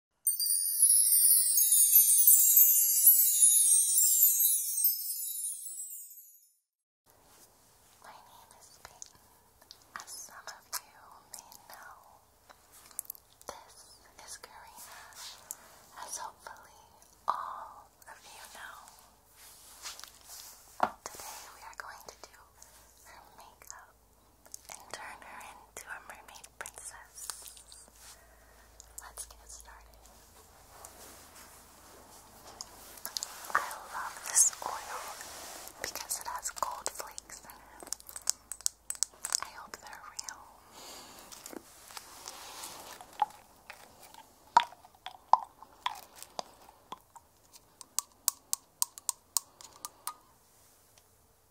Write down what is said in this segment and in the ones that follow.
My name is Peyton. As some of you may know, this is Karina, as hopefully all of you know. Today we are going to do her makeup and turn her into a mermaid princess. Let's get started. I love this oil because it has gold flakes in it. I hope they're real.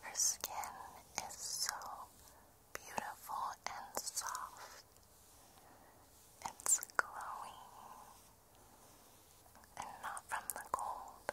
Her skin is so beautiful and soft. It's glowing and not from the cold.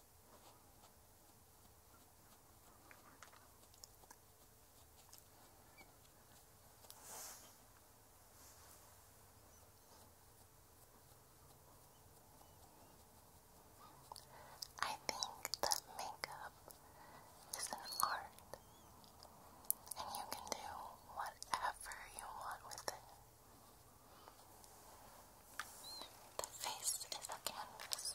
I think that makeup is an art, and you can do whatever you want with it. The face is a canvas,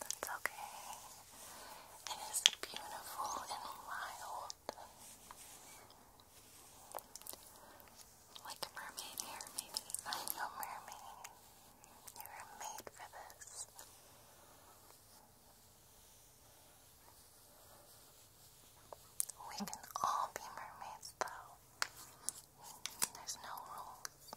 That's okay. It is beautiful and mild. Like a mermaid hair, maybe. I'm mermaid. You're made for this. We can all be mermaids, though. There's no rules.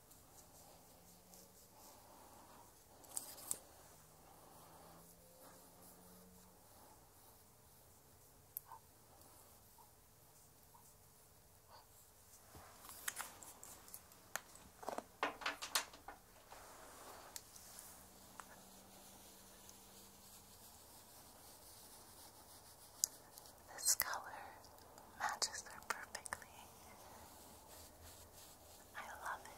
This color matches her perfectly. I love him.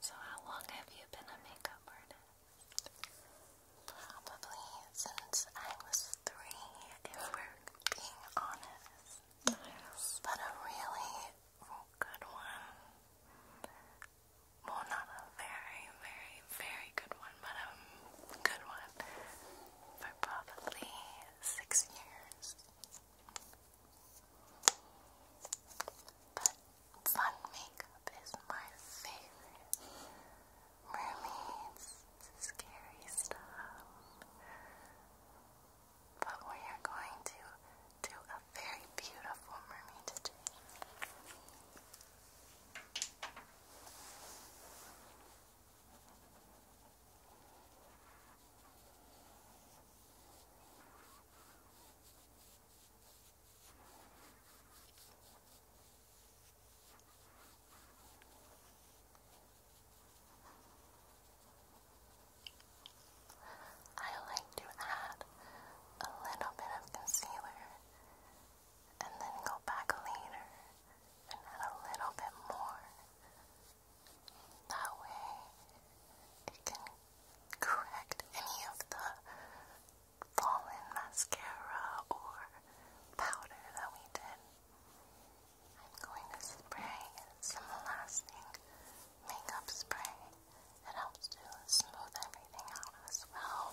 So, how long have you been a makeup artist? Probably since I was three, if we're being honest. But a really Oh, good one. Well, not a very, very, very good one, but a um, good one for probably six years. But fun makeup is my favorite. Mermaids, scary but we are going to do a very beautiful mermaid today. I like to add a little bit of concealer and then go back later and add a little bit more. That way it can correct any of the fallen mascara or powder that we did. I'm going to spray some lasting makeup spray. It helps to smooth everything out as well.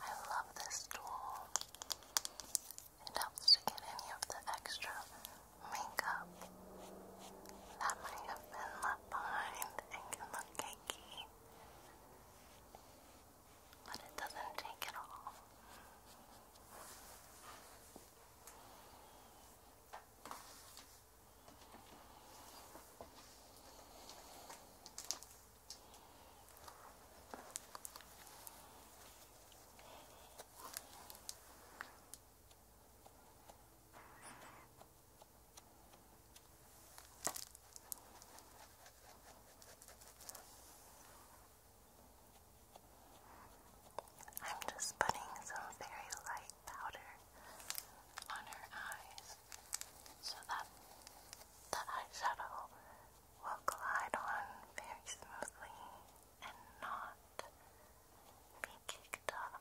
I love this tool. It helps to get any of the extra makeup that might have been left behind and can look cakey but it doesn't take it all. I'm just putting some very light powder on her eyes so that the eyeshadow will glide on very smoothly and not be kicked up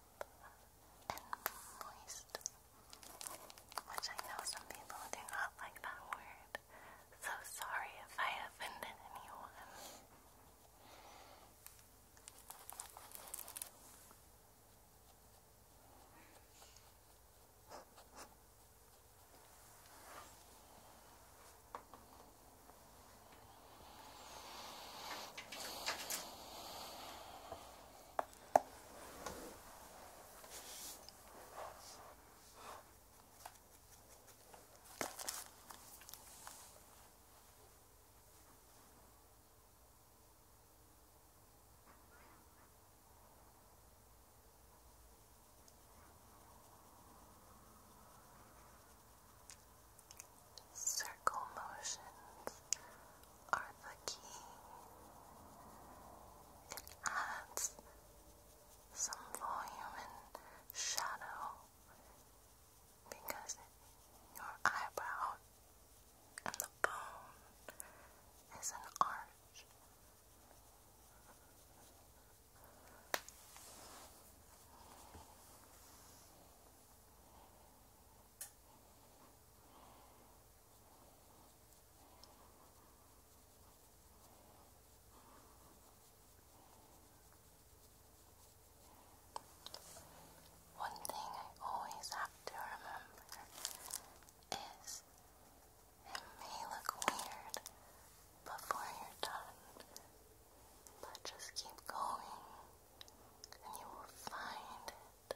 and moist. Which I know some people do not like that word. So sorry if I offended anyone. Circle motions are the key. It adds some volume and shadow because your eyebrow and the bone is an arch. One thing I always have to remember is it may look weird before you're done, but just keep going and you will find it.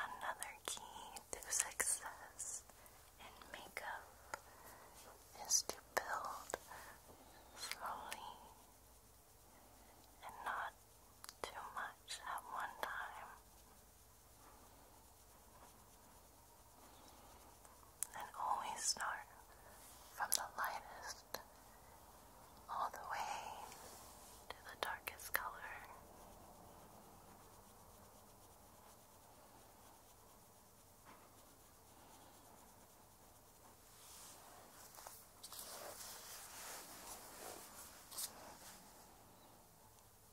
Another key to success in makeup is to build slowly and not too much at one time. And always start from the lightest all the way to the darkest color.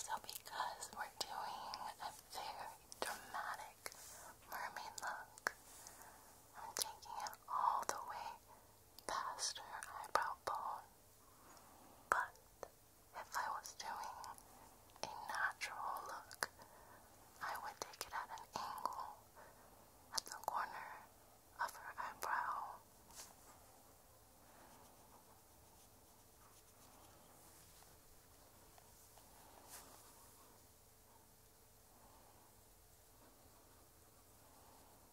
So, because we're doing a very dramatic mermaid look, I'm taking it all the way past her eyebrow bone but if I was doing a natural look, I would take it at an angle at the corner of her eyebrow.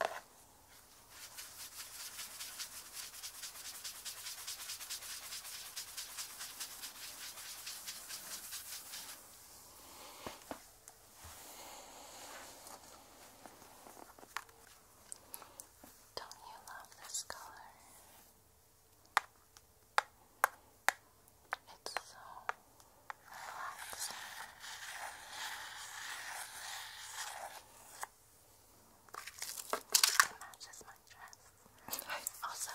Don't you love this color? It's so relaxing. It matches my dress. also,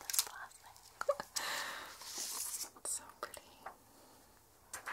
this plastic. it's so pretty. I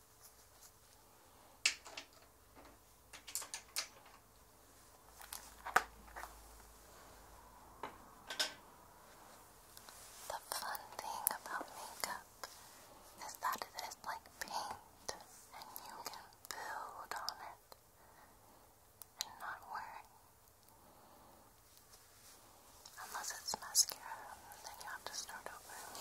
The fun thing about makeup is that it is like paint and you can build on it and not worry. Unless it's mascara, then you have to start over.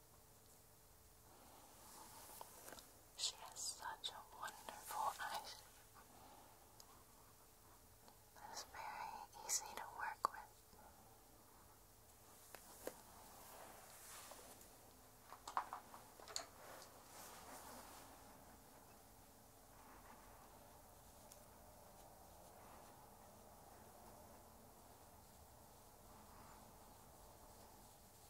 She has such a wonderful eye shape. very easy to work with.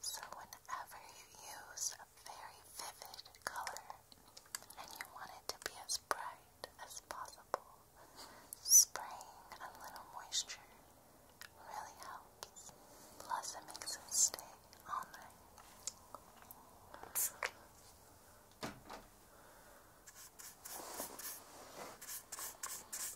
So, whenever you use a very vivid color and you want it to be as bright as possible, spraying a little moisture really helps. Plus, it makes it stay on night.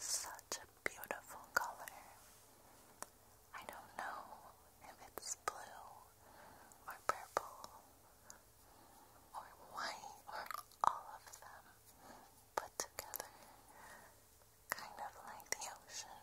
Such a beautiful color. I don't know if it's blue or purple or white or all of them put together, kind of like the ocean.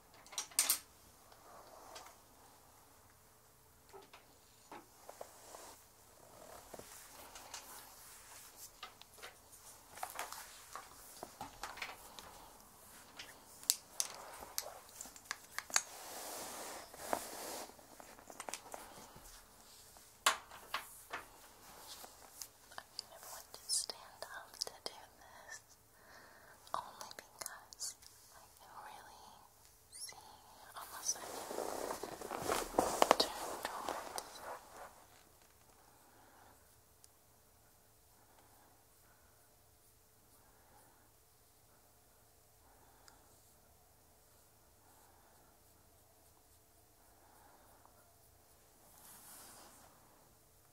I never want to stand up to do this only because I can really see almost I can turn towards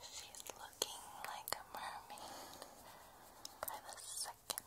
She's looking like a mermaid by the second.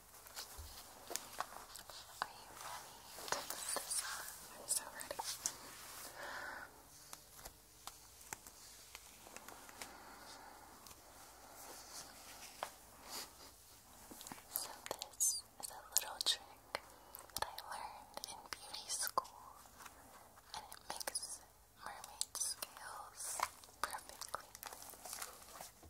Are you ready to put this on? I'm so ready. So this is a little trick that I learned in beauty school and it makes mermaid scales perfectly.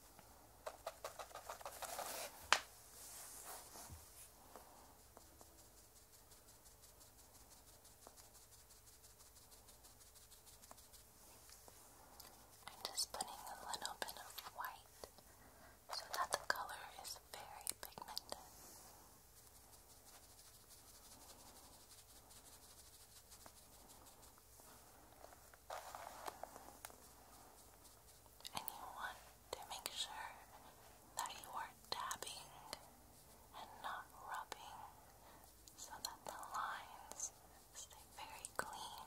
I'm just putting a little bit of white so that the color is very pigmented. And you want to make sure that you are dabbing and not rubbing so that the lines stay very clean.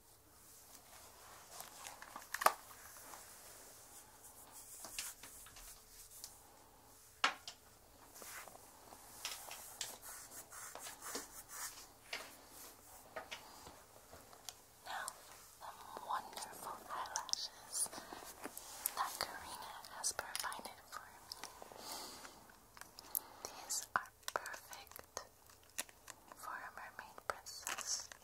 Now, the wonderful eyelashes that Karina has provided for me. These are perfect for a mermaid princess.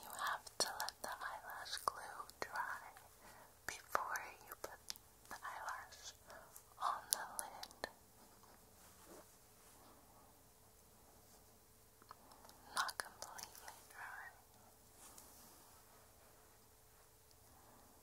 You have to let the eyelash glue dry before you put the eyelash on the lid. Not completely dry.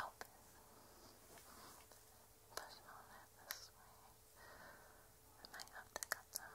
open. Push on it this way. I might have to cut them.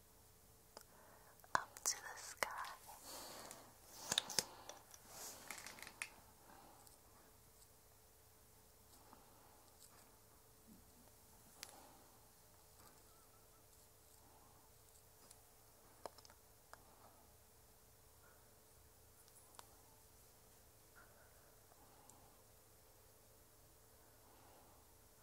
up to the sky.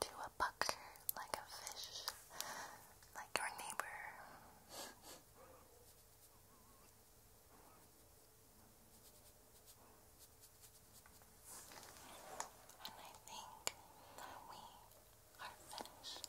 To a bucker like a fish, like your neighbor. And I think that we are finished.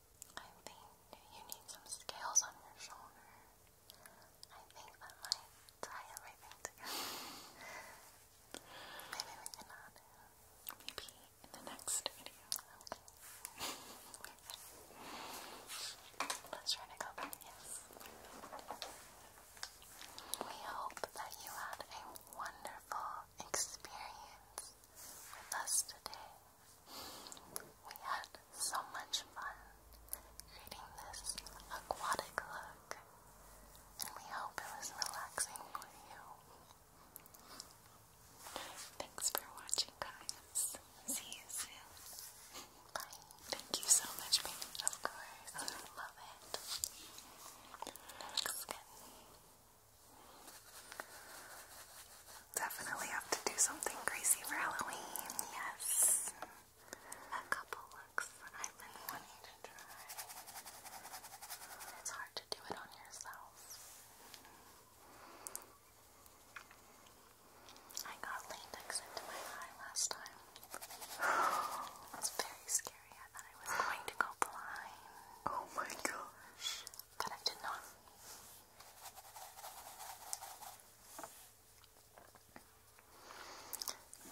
I think you need some scales on your shoulder. I think that might tie everything together. Maybe we can add it. Maybe in the next video. Let's try to go back. We hope that you had a wonderful experience with us today. We had so much fun creating this aquatic look, and we hope it was relaxing for you. Thanks for watching, guys. See you soon. Bye. Thank you so much, baby. Of course. love it. That looks Definitely have to do something crazy for Halloween. Yes. A couple looks I've been wanting to try. It's hard to do it on yourself. I got latex into my eye last time. It very scary. I thought I was going to go blind. Oh my gosh that I did not.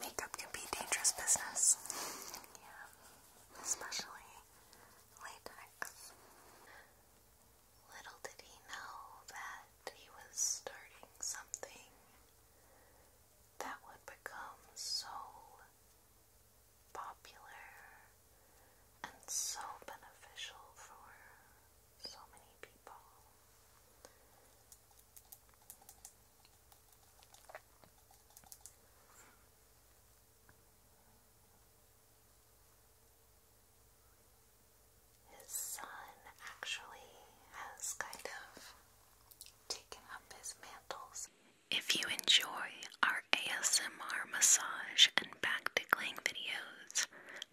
Makeup can be dangerous business. Yeah, especially latex. Little did he know that he was starting something that would become so popular and so beneficial for so many people. His son actually has kind of taken up his mantles. If you enjoy our ASMR massage and back tickling videos,